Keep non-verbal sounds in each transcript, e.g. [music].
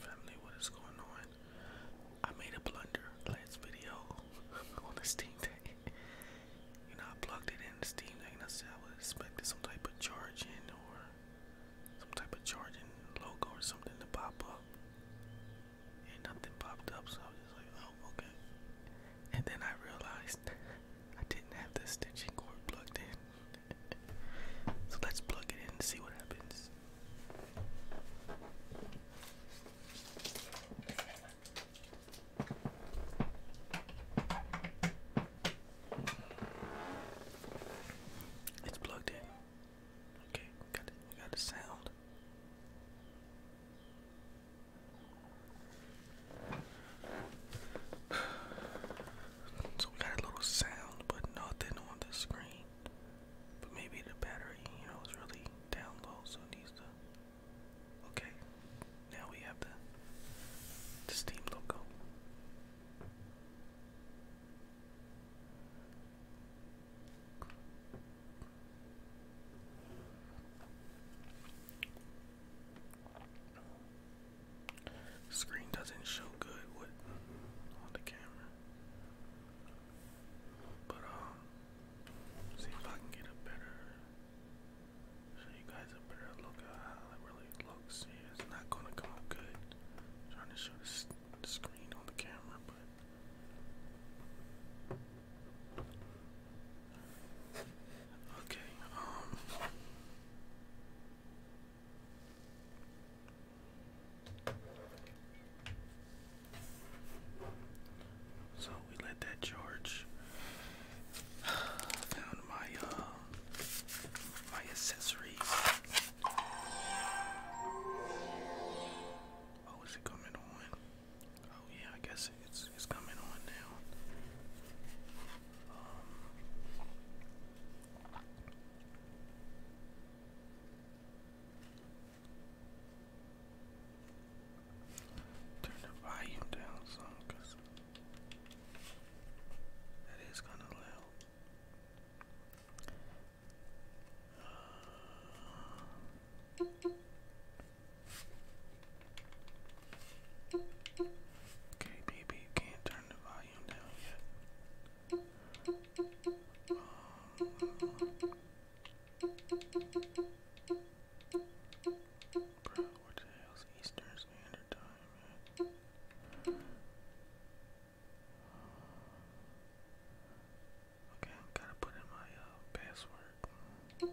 Family, what is going on? I made a blunder last video [laughs] on the Steam Deck. you I plugged it in the Steam Deck I said I was expecting some type of charging or some type of charging logo or something to pop up. And nothing popped up, so I was just like, oh, okay. And then I realized I didn't have the stitching cord plugged in. [laughs] so let's plug it in and see what happens. It's plugged in. Okay, got it. We got the sound. [sighs] So we got a little sound, but nothing on the screen. But maybe the battery, you know, is really down low, so it needs to. Okay, now we have the, Steam logo. Screen doesn't show good with uh, on the camera. But um see if I can get a better show you guys a better look at how it really looks. Yeah, it's not gonna come out good. trying to show the screen on the camera, but Okay, um so we let that charge. [sighs] found my uh my accessories. Oh, is it coming on? Oh yeah, I guess it's is, coming on now. Um, turn the volume down some that is kind of loud. Uh, Okay, baby, can't turn the volume down yet. Um, Eastern Standard Time, Okay, gotta put in my uh, password.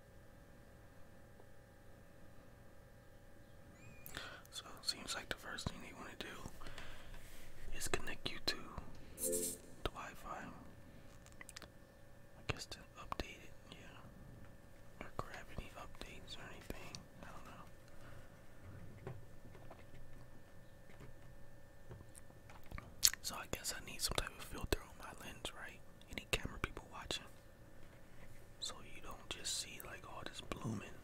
So it seems like the first thing they want to do is connect you to the Wi-Fi. I guess to update it, yeah. Or grab any updates or anything. I don't know. So I guess I need some type of filter on my lens, right? any camera people watching. So you don't just see like all this blooming.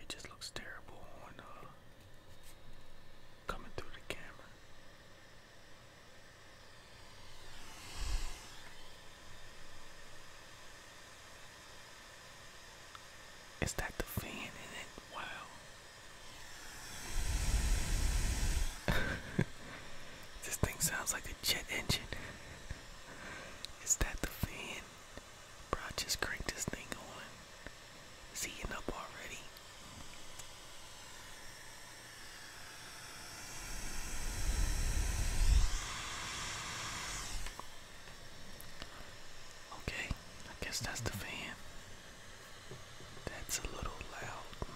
It just looks terrible on uh, coming through the camera. Is that the fan Wow. [laughs] This thing sounds like a jet engine. Is that the fan? Bro, I just cranked this thing on. It's heating up already. Okay, I guess that's the fan. That's a little loud.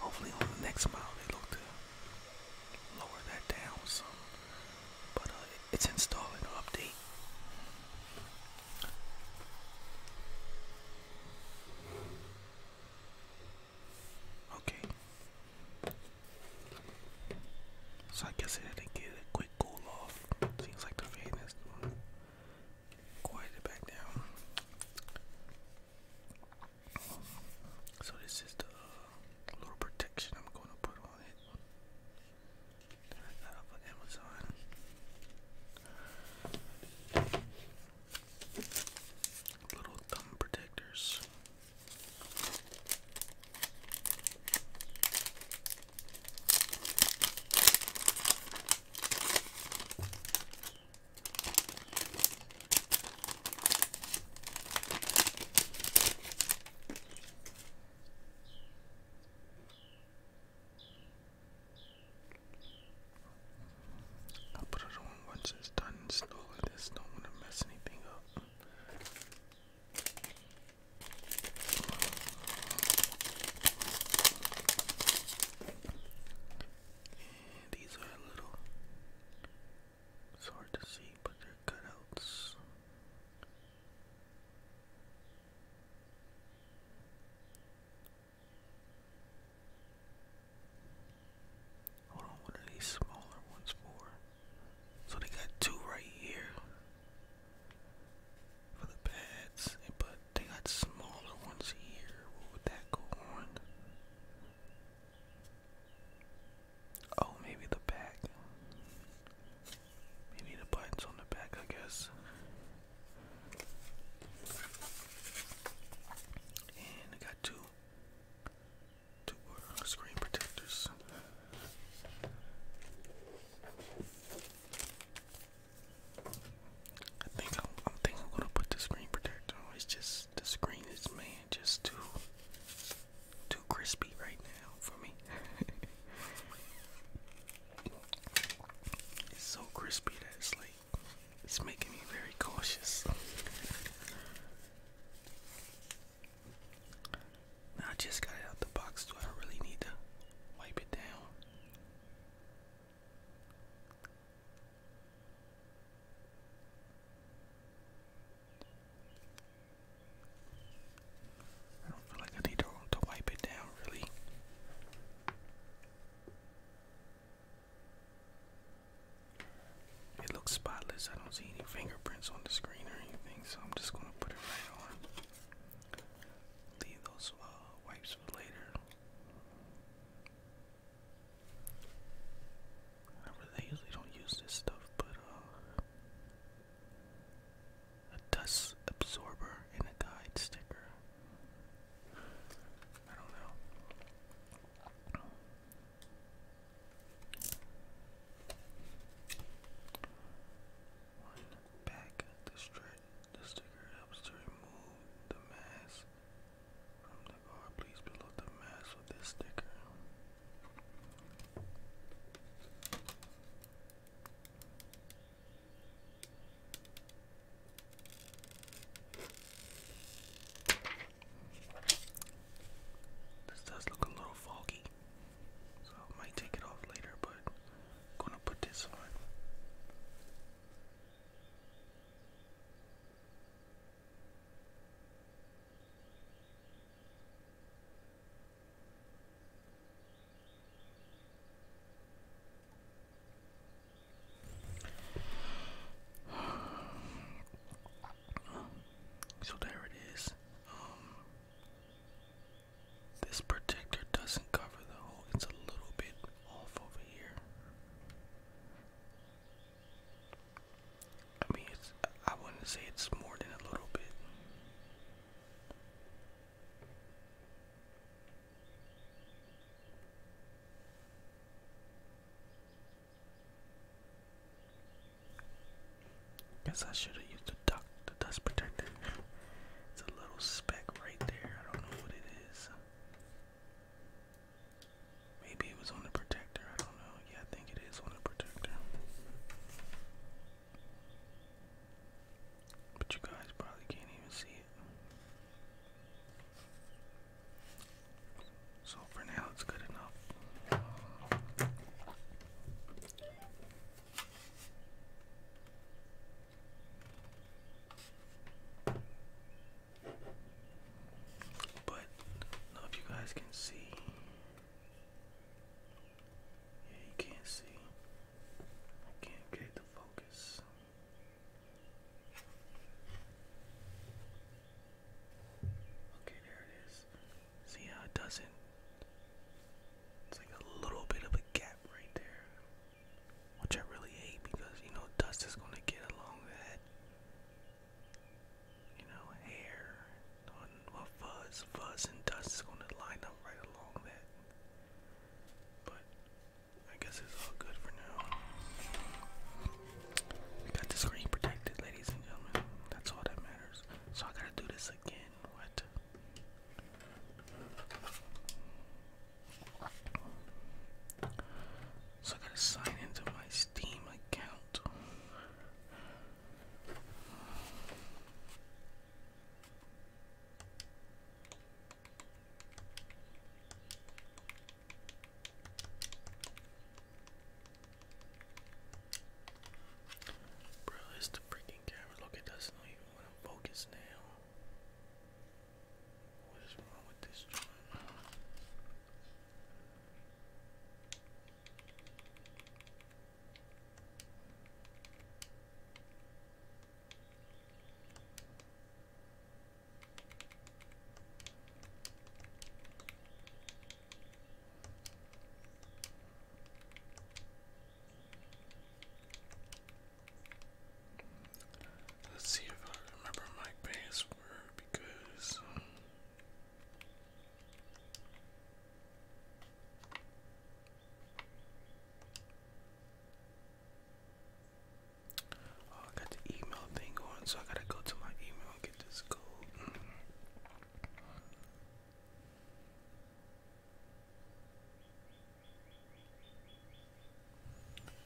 Hopefully on the next model they look to lower that down some. But uh, it's installing an update. Okay. So I guess it didn't get a quick cool off. Seems like the fan is going back down. So this is the uh, little protection I'm going to put on it. got off of Amazon. Little thumb protectors. I'll put it on once it's done slowly. Just don't want to mess anything up these are little, it's hard to see, but they're cutouts. Hold on, what are these smaller ones for? So they got two right here for the pads, but they got smaller ones here. What would that go on? Oh, maybe the back. Maybe the buttons on the back, I guess. And I got two, two uh, screen protectors. I think I'm, think I'm gonna put the screen protector It's just the screen is man just too too crispy right now for me. [laughs] it's so crispy that it's like it's making me very cautious. I just got out the box, so I really need to wipe it down. I don't feel like I need to, wipe it down, really. It looks spotless. I don't see any fingerprints on the screen or anything, so I'm just gonna put it right on. Leave those uh, wipes for later. I usually don't use this stuff, but uh, a dust absorber and a guide sticker. I don't know. One back the stretch the sticker helps to remove the mass from the guard, please below the mask with this sticker. This does look a little foggy, so might take it off later, but gonna put this on. So there it is. Um, this protector doesn't cover the hole, it's a little bit off over here. I mean, it's, I wouldn't say it's more than a little bit. Guess I should have used the duck, the dust protector. it's a little speck right there. I don't know what it is. Maybe it was on the protector. I don't know. Yeah, I think it is on the protector. But you guys probably can't even see it. So for now, it's good enough. But know if you guys can see. Yeah, you can't see. I can't get it focus. Okay, there it is. See how it doesn't? It's like a little bit of a gap right there which I really hate because you know dust is gonna get along that you know hair on fuzz fuzz and dust is gonna line up right along that but I guess it's all good for now we got the screen protected ladies and gentlemen that's all that matters so I gotta do this again what so I gotta sign into my Steam account. Bro, it's the freaking camera. Look, it doesn't even want to focus now. What is wrong with this joint? Let's see if I remember my password because. Um, oh, I got the email thing going, so I gotta go to my email get this code.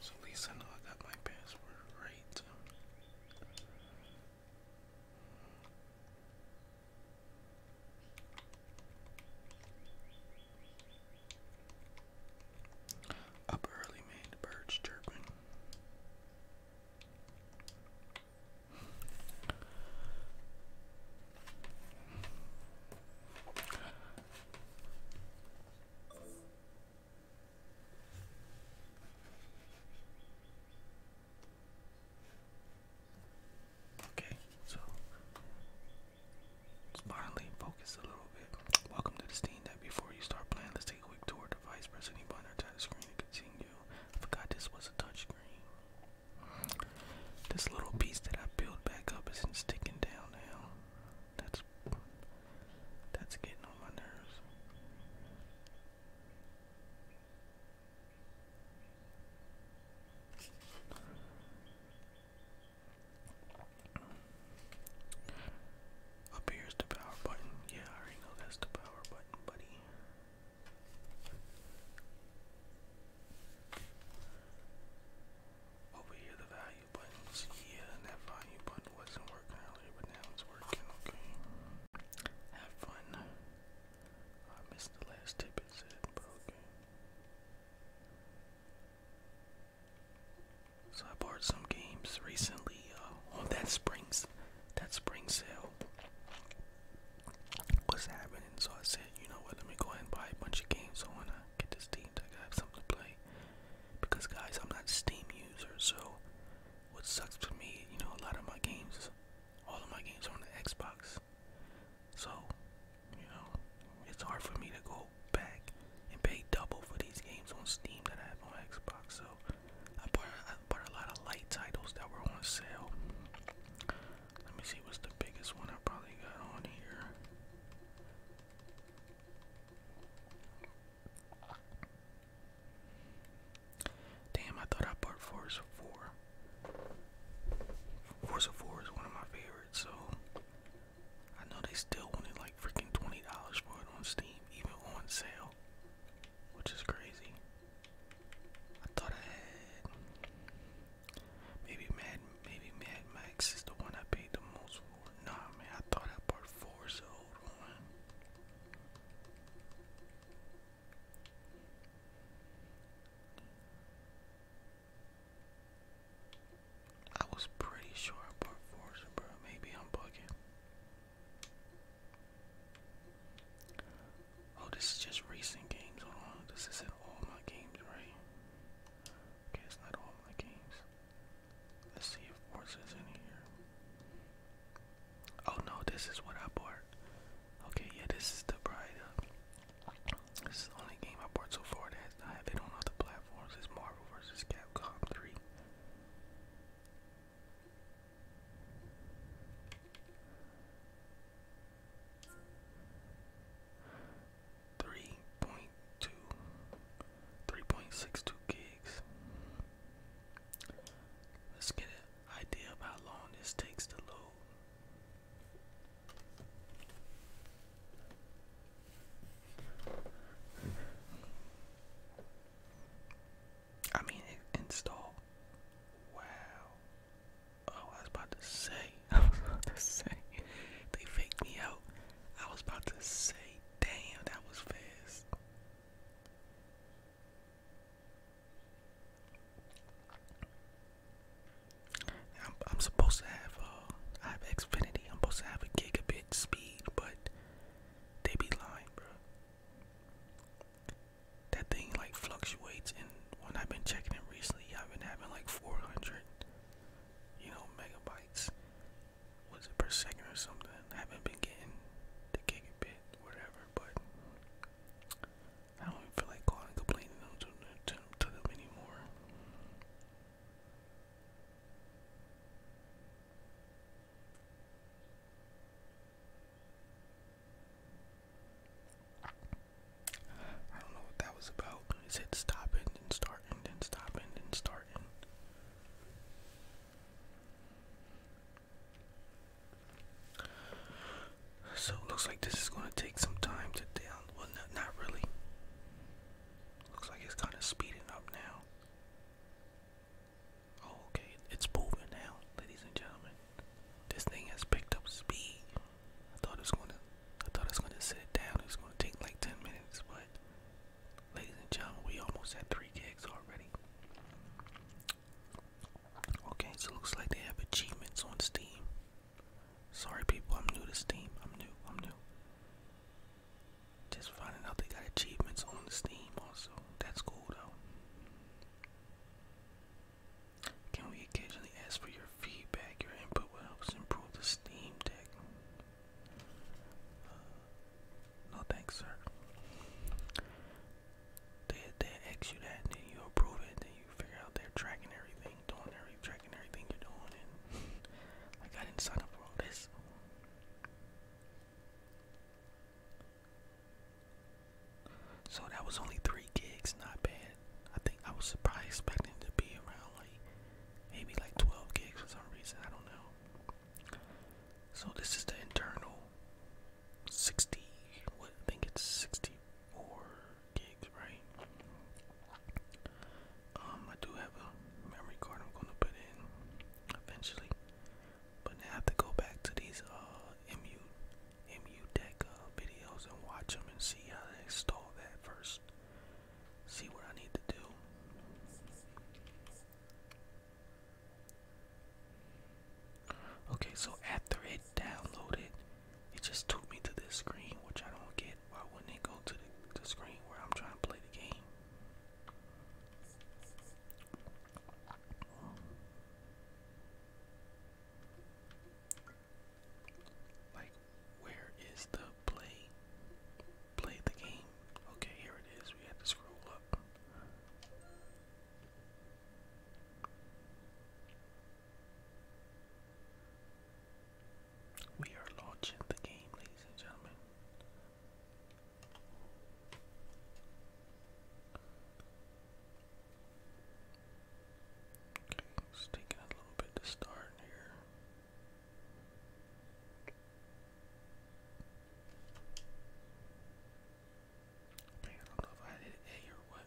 So at least I know I got my password right. Up early made birds chirping. Okay, so let's finally focus a little bit. Welcome to the Steam that before you start playing, let's take a quick tour of the device. Press any button or the screen to continue. I forgot this was a touchscreen. This little piece that I built back up isn't sticking down now. That's that's getting on my nerves. Up the power button. Yeah, I already that's the power button, buddy. Over here, the vacuum. Have fun. I missed the last tip it said, but okay. So I bought some games recently uh, on that springs, that spring sale was happening. So I said, you know what? Let me go ahead and buy a bunch of games. Uh, get Steam so I can have something to play. Because guys, I'm not Steam user, so what sucks for me, you know, a lot of my games, all of my games are on the Xbox. So, you know, it's hard for me to go back and pay double for these games on Steam that I have on Xbox. So, I bought, I bought a lot of light titles that were on sale. Let me see what's the biggest one I probably got on here. Damn, I thought I bought Forza 4. Forza 4 is one of my favorites, so I know they still wanted like freaking $20 for it on Steam, even on sale, which is crazy. I thought I had maybe Mad maybe Mad Max is the one I paid the most for nah, man, I thought that part four, so hold on. I was pretty sure part four, bro. Maybe I'm bugging. Oh, this is just racing games. Hold this isn't all my games, right? Okay, it's not all my games. Let's see if Forza's in here. Oh no, this is what I bought. Okay, yeah, this is the bride This is the only game I bought so far that I have it on other platforms. It's Marvel vs. Capcom 3. 3.2 3.62 gigs. Let's get an idea of how long this takes to load. I mean, it Wow. Oh, I was about to say. [laughs] I was about to say. They faked me out. I was about to say Damn, that was fast. I'm, supposed to have uh, I have Xfinity. I'm supposed to have a gigabit speed, but they be lying, bro. That thing like fluctuates, and when I've been checking it recently, I've been having like 400, you know, megabytes was it per second or something? I haven't been getting the gigabit, whatever, but I don't even feel like calling and complaining them, to them anymore. I don't know what that was about. It stopping, then starting, then stopping, then starting. So it looks like this is gonna take some time to down. Well, not, really. Looks like it's kind of speeding up now. Oh, okay, it's moving now, ladies and gentlemen. This thing has picked up speed. I thought it was gonna, I thought it was gonna sit down. It gonna take like ten minutes, but Ladies and gentlemen, we almost had three gigs already. Okay, so looks like they have achievements on Steam. Sorry, people, I'm new to Steam. I'm new. I'm new. Just finding out they got achievements on the Steam also. That's cool though. Can we occasionally ask for your feedback? Your input will help improve the Steam Deck. Uh, no thanks, sir. They they ask you that, then you approve it, then you figure out they're tracking everything, doing every tracking everything you're doing, [laughs] like I didn't sign up for all this. So that was only three gigs, not bad. I think I was surprised expecting to be around like maybe like 12 gigs for some reason, I don't know. So this is the internal 60, what I think it's 64 gigs, right? Um, I do have a memory card I'm gonna put in eventually, but I have to go back to these uh MU MU deck uh, videos and watch them and see how they install that first see what I need to do. Okay, so after it downloaded, it just took me to this screen, which I don't get. Why wouldn't it go to the, screen where I'm trying to play the game? Where is the play? Play the game. Okay, here it is. We had to scroll up. We are launching the game, ladies and gentlemen. Okay, it's taking a little bit to start here. I don't know if I did A or what.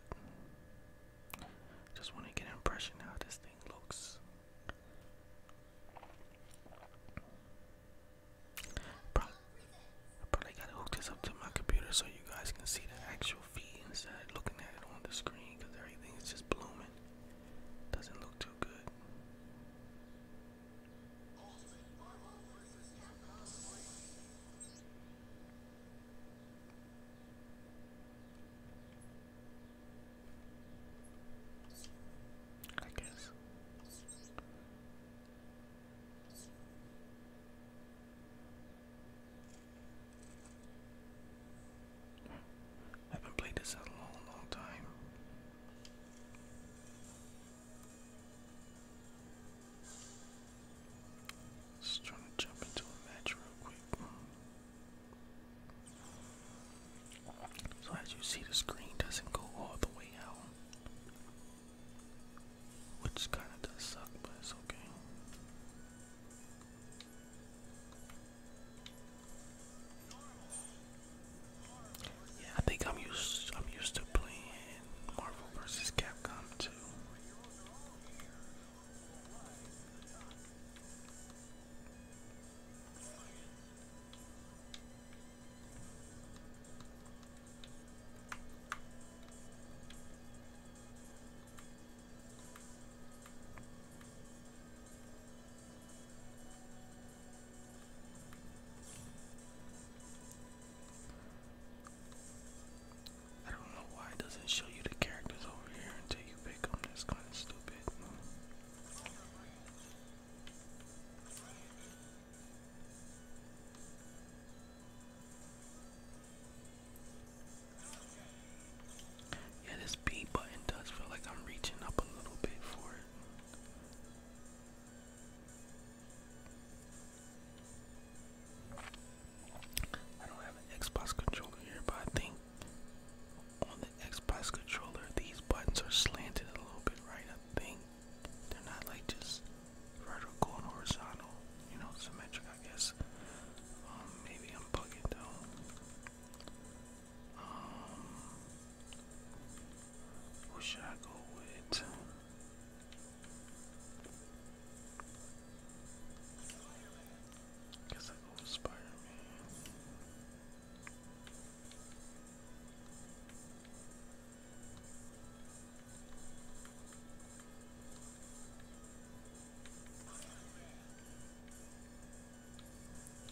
Just want to get an impression how this thing looks. Probably, I probably gotta hook this up to my computer so you guys can see the actual feed instead of looking at it on the screen because everything is just blooming. Doesn't look too good. I guess. I haven't played this in a long, long time. Just trying to jump into a match real quick. So as you see, the screen doesn't go all the way out. Which kind of does suck, but it's okay. Yeah, I think I'm used I'm used to playing Marvel vs. Capcom 2. I don't know why it doesn't show you the characters over here until you pick them. That's kind of stupid. Yeah, this B button does feel like I'm reaching up a little bit for it. I don't have an Xbox controller here, but I think on the Xbox controller these buttons are slanted a little bit, right? I think they're not like just vertical and horizontal, you know, symmetric, I guess. Um, maybe I'm bugging though. Um, who should I go with? Guess I go with Spider Man.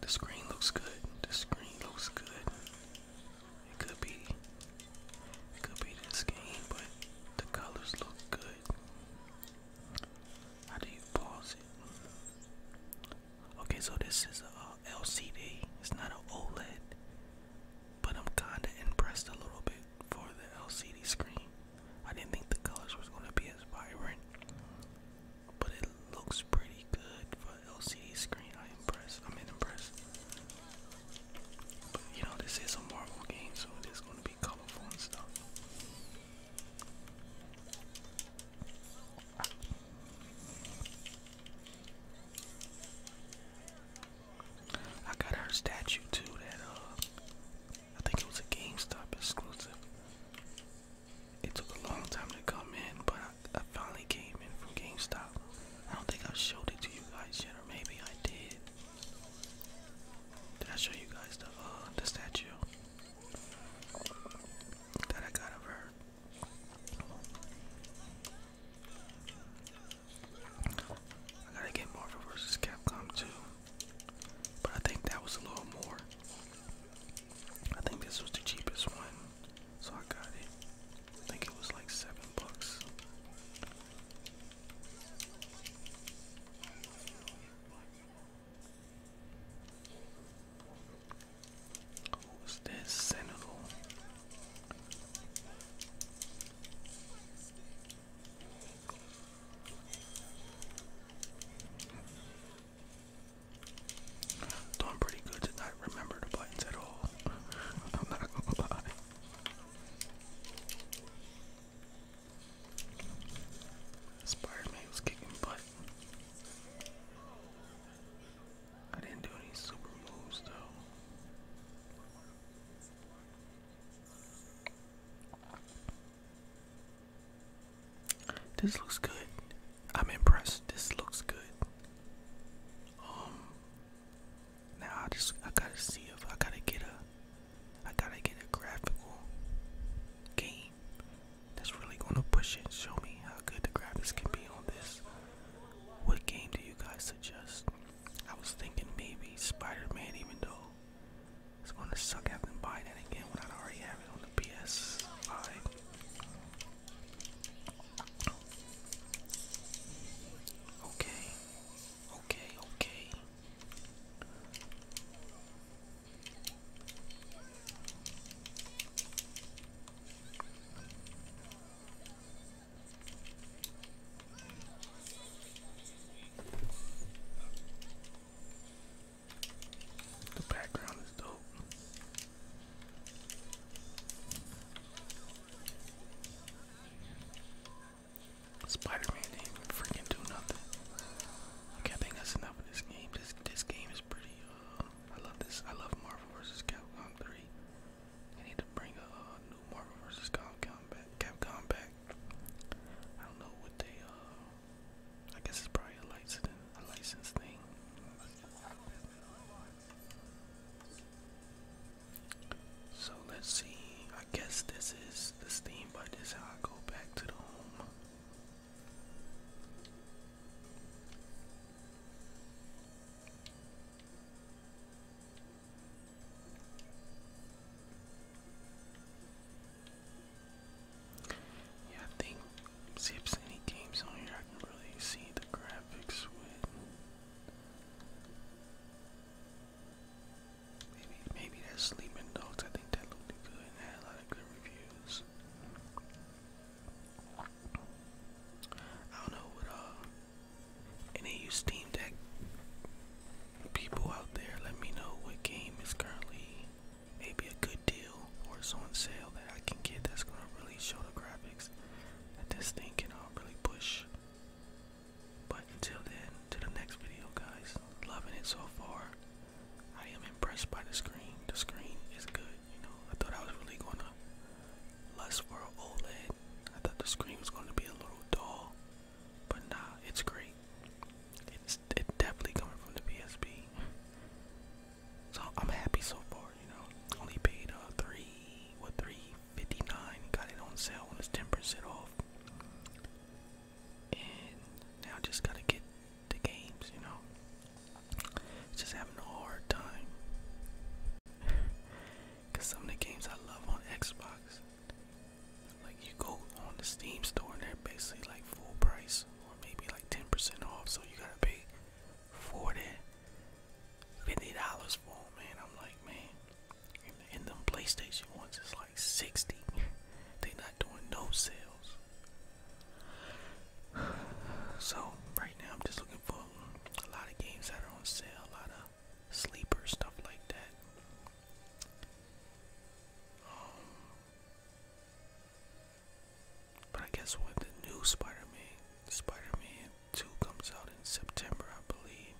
The screen looks good. The screen looks good. It could be it could be this game, but the colors look good. How do you pause it? Okay, so this is a uh, LCD. It's not an OLED, but I'm kinda impressed a little bit for the LCD screen. I didn't think the colors was gonna be as vibrant, but it looks pretty good for an LCD screen. I am impressed. I'm impressed. But, you know, this is a Marvel game, so it is gonna be colorful and stuff. I got her statue too that uh I think it was a GameStop exclusive. It took a long time to come in, but I, finally came in from GameStop. I don't think I showed it to you guys yet, or maybe I did. Did I show you guys the uh, the statue that I got of her? I gotta get Marvel vs. Capcom 2. But I think that was a little more. I think this was the cheapest one. So I got it. I think it was like seven bucks. Who's this Sentinel? Though pretty good to remember the buttons at all. [laughs] I'm not gonna lie. Spider-Man was kicking butt. I didn't do any super moves though. This looks good. I'm impressed. This looks good. Um now I just I gotta see if I gotta get a I gotta get a graphical game that's really gonna push it and show me how good the graphics can be on this. What game do you guys suggest? I was thinking maybe Spider-Man even though it's gonna suck having to buy that again when I already have it on the PS5. Okay, okay, okay. The background is dope. Spider-Man didn't freaking do nothing. Okay, I think that's enough in this game. This this game is pretty. Um, I love this. I love Marvel vs. Capcom 3. I need to bring a new Marvel vs. Capcom back. Capcom back. I don't know what they uh I guess it's probably a license a license thing. So let's see. I guess this is the Steam, but is how I go back to the home. Yeah, I think see if any games on here I can really see the graphics with. Maybe maybe that Sleeping Dogs. I think that looked good had a lot of good reviews. I don't know what uh and they use Steam Deck. People out there, let me know what game is currently maybe a good deal or it's on sale that I can get that's gonna really show the graphics that this thing can all uh, really push. But until then, to the next video, guys. Loving it so far. I am impressed by the screen. The screen is good. You know, I thought I was really gonna less for an OLED. I thought the screen was gonna be a little dull. But nah, it's great. It's it definitely coming from the PSP. So I'm happy so far, you know. Only paid uh three what three fifty nine, got it on sale when it's ten percent off. And now just gotta get the games, you know. Just having a hard time. [laughs] Cause some of the games I love on Xbox, like you go on the Steam store and they're basically like full price or maybe like 10% off, so you gotta pay 40 50 dollars for them, man. I'm like, man, and, and them PlayStation ones is like 60. [laughs] they not doing no sales. [sighs] So right now I'm just looking for a lot of games that are on sale, a lot of sleeper stuff like that. Um, but I guess with the new Spider-Man, Spider-Man Two comes out in September, I believe,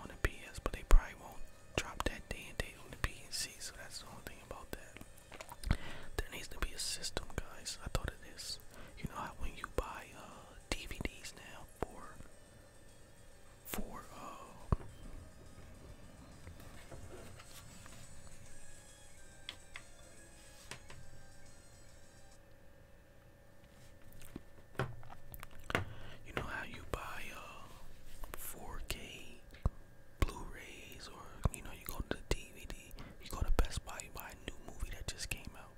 on the PS. But they probably won't drop that day and date on the PC, so that's the only thing about that. There needs to be a system, guys. I thought of this. You know how when you buy uh, DVDs now for Four oh. You know how you buy uh 4K Blu-rays or you know you go to the DVD, you go to Best Buy, you buy a new movie that just came out.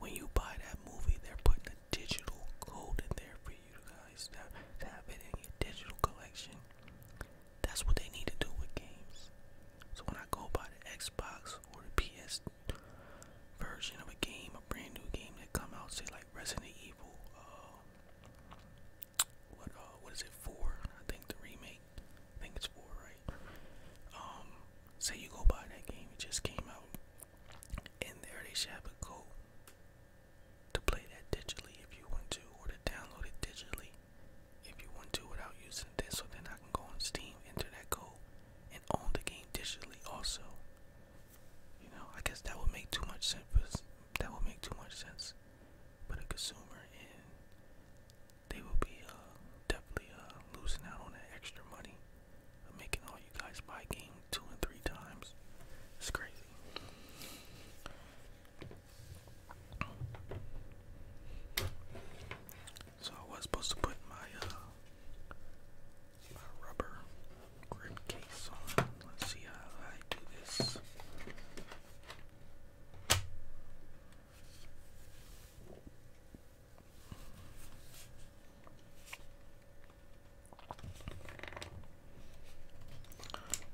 When you buy that movie, they're putting a digital code in there for you guys to have it in your digital collection. That's what they need to do with games. So when I go buy the Xbox or the PS version of a game, a brand new game that come out, say like Resident Evil, uh, what uh, what is it for? I think the remake. I think it's for right. Um, say you go buy that game, it just came out and there they should have a code to play that digitally if you want to, or to download it digitally if you want to without using this. So then I can go on Steam, enter that code, and own the game digitally also. You know, I guess that would make too much sense. For, that would make too much sense for the consumer, and they will be uh, definitely uh, losing out on that extra money. I'm making all you guys buy game two and three times. It's crazy. So I was supposed to put my uh, my rubber grip case on. Let's see how I do this.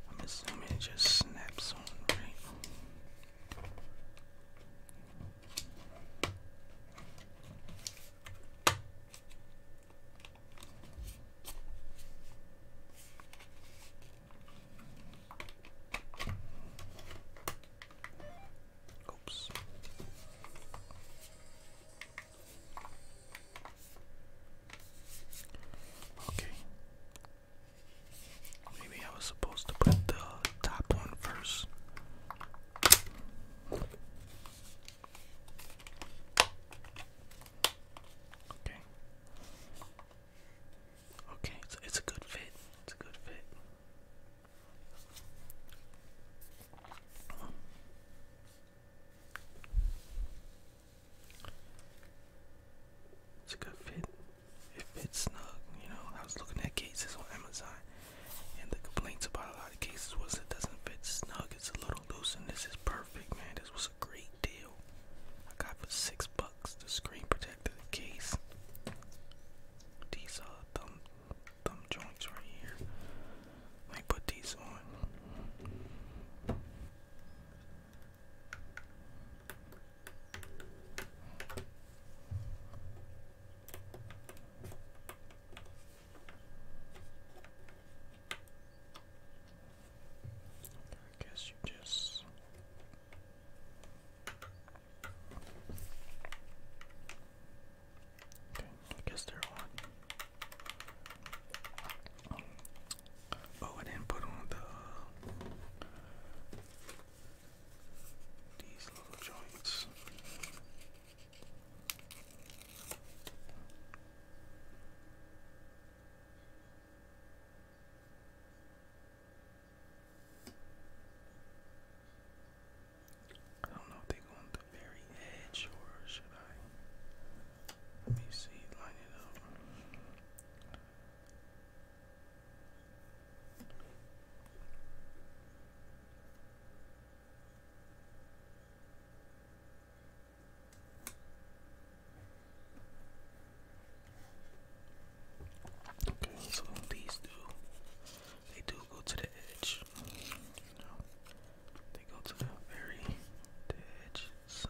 I'm assuming it just snaps on, right? Oops. Okay. Maybe I was supposed to put the top one first. Okay. Okay, it's a good fit. It's a good fit. It's a good fit. It fits snug, you know. I was looking at cases on Amazon and the complaints about a lot of cases was it doesn't fit snug, it's a little loose and this is perfect man. This was a great deal. I got for six bucks the screen protector, case. These are uh, thumb them joints right here. Let put these on. I guess you just Okay, I guess they're on. Oh, I didn't put on the these little joints. I don't know if they go on the very edge or should I? Let me see, line it up. Okay, so these do, they do go to the edge. They go to the very edge, so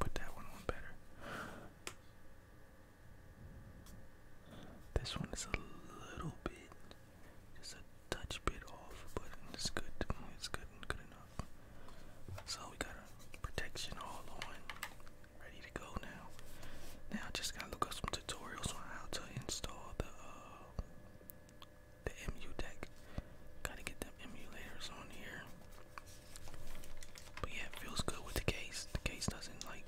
put that one on better. This one is a little bit just a touch bit off, but it's good. It's good good enough. So we got protection all on, ready to go now. Now just gotta look up some tutorials on how to install the uh, the MU deck. Gotta get them emulators on here. But yeah, feels good with the case. The case doesn't like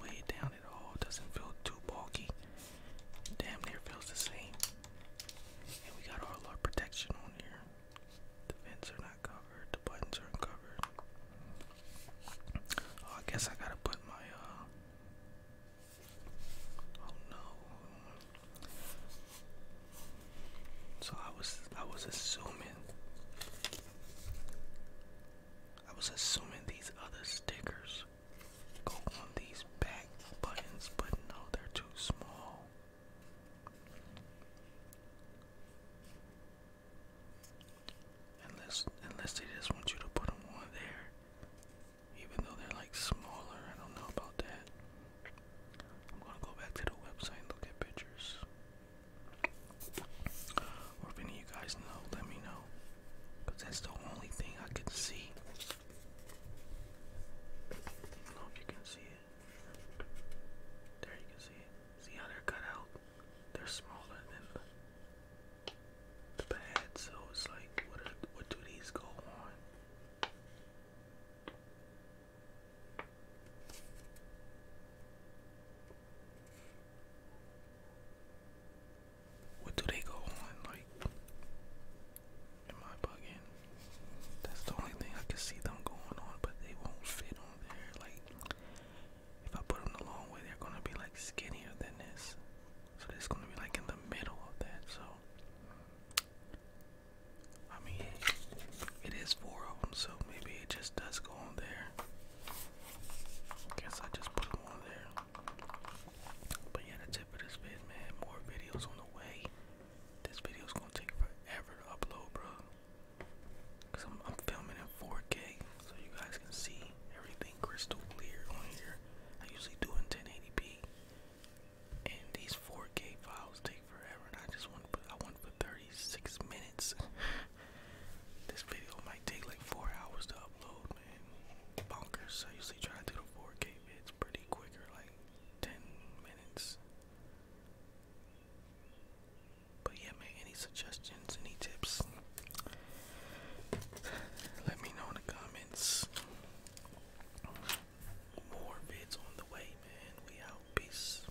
weigh down at all. doesn't feel too bulky. Damn near feels the same. we got all our protection on here. The vents are not covered, the buttons are uncovered. Oh, I guess I gotta put my, uh, Oh no. So I was, I was assuming. I was assuming these other stickers go on these back buttons, but no, they're too small. Unless, unless they just want you to put them on there, even though they're like smaller, I don't know about that. I'm gonna go back to the website and look at pictures. Or if any of you guys know, let me know. that's the only thing I could see. I don't know if you can see it. There you can see it. See how they're cut out? They're smaller than the, the so it's like, what do these go on? What do they go on? Like, am I bugging? That's the only thing I can see them going on, but they won't fit on there. Like, if I put them the long way, they're gonna be like skinnier than this. So it's gonna be like in the middle of that. So, I mean, it is four of them, so maybe it just does go on there. guess I just put them on there. But yeah, that's it for this vid, man. More videos on the way. This video's gonna take forever to upload, bro. Cause am filming in 4K, so you guys can see everything crystal clear on here. I usually do in 1080p, and these 4K files take forever. And I just want to put, I want for 36 minutes. [laughs] this video might take like four hours to upload man. Bonkers. I usually try to do the 4K bids pretty quicker, like 10 minutes. But yeah, man, any suggestions, any tips, let me know in the comments. More bids on the way, man. We out. Peace.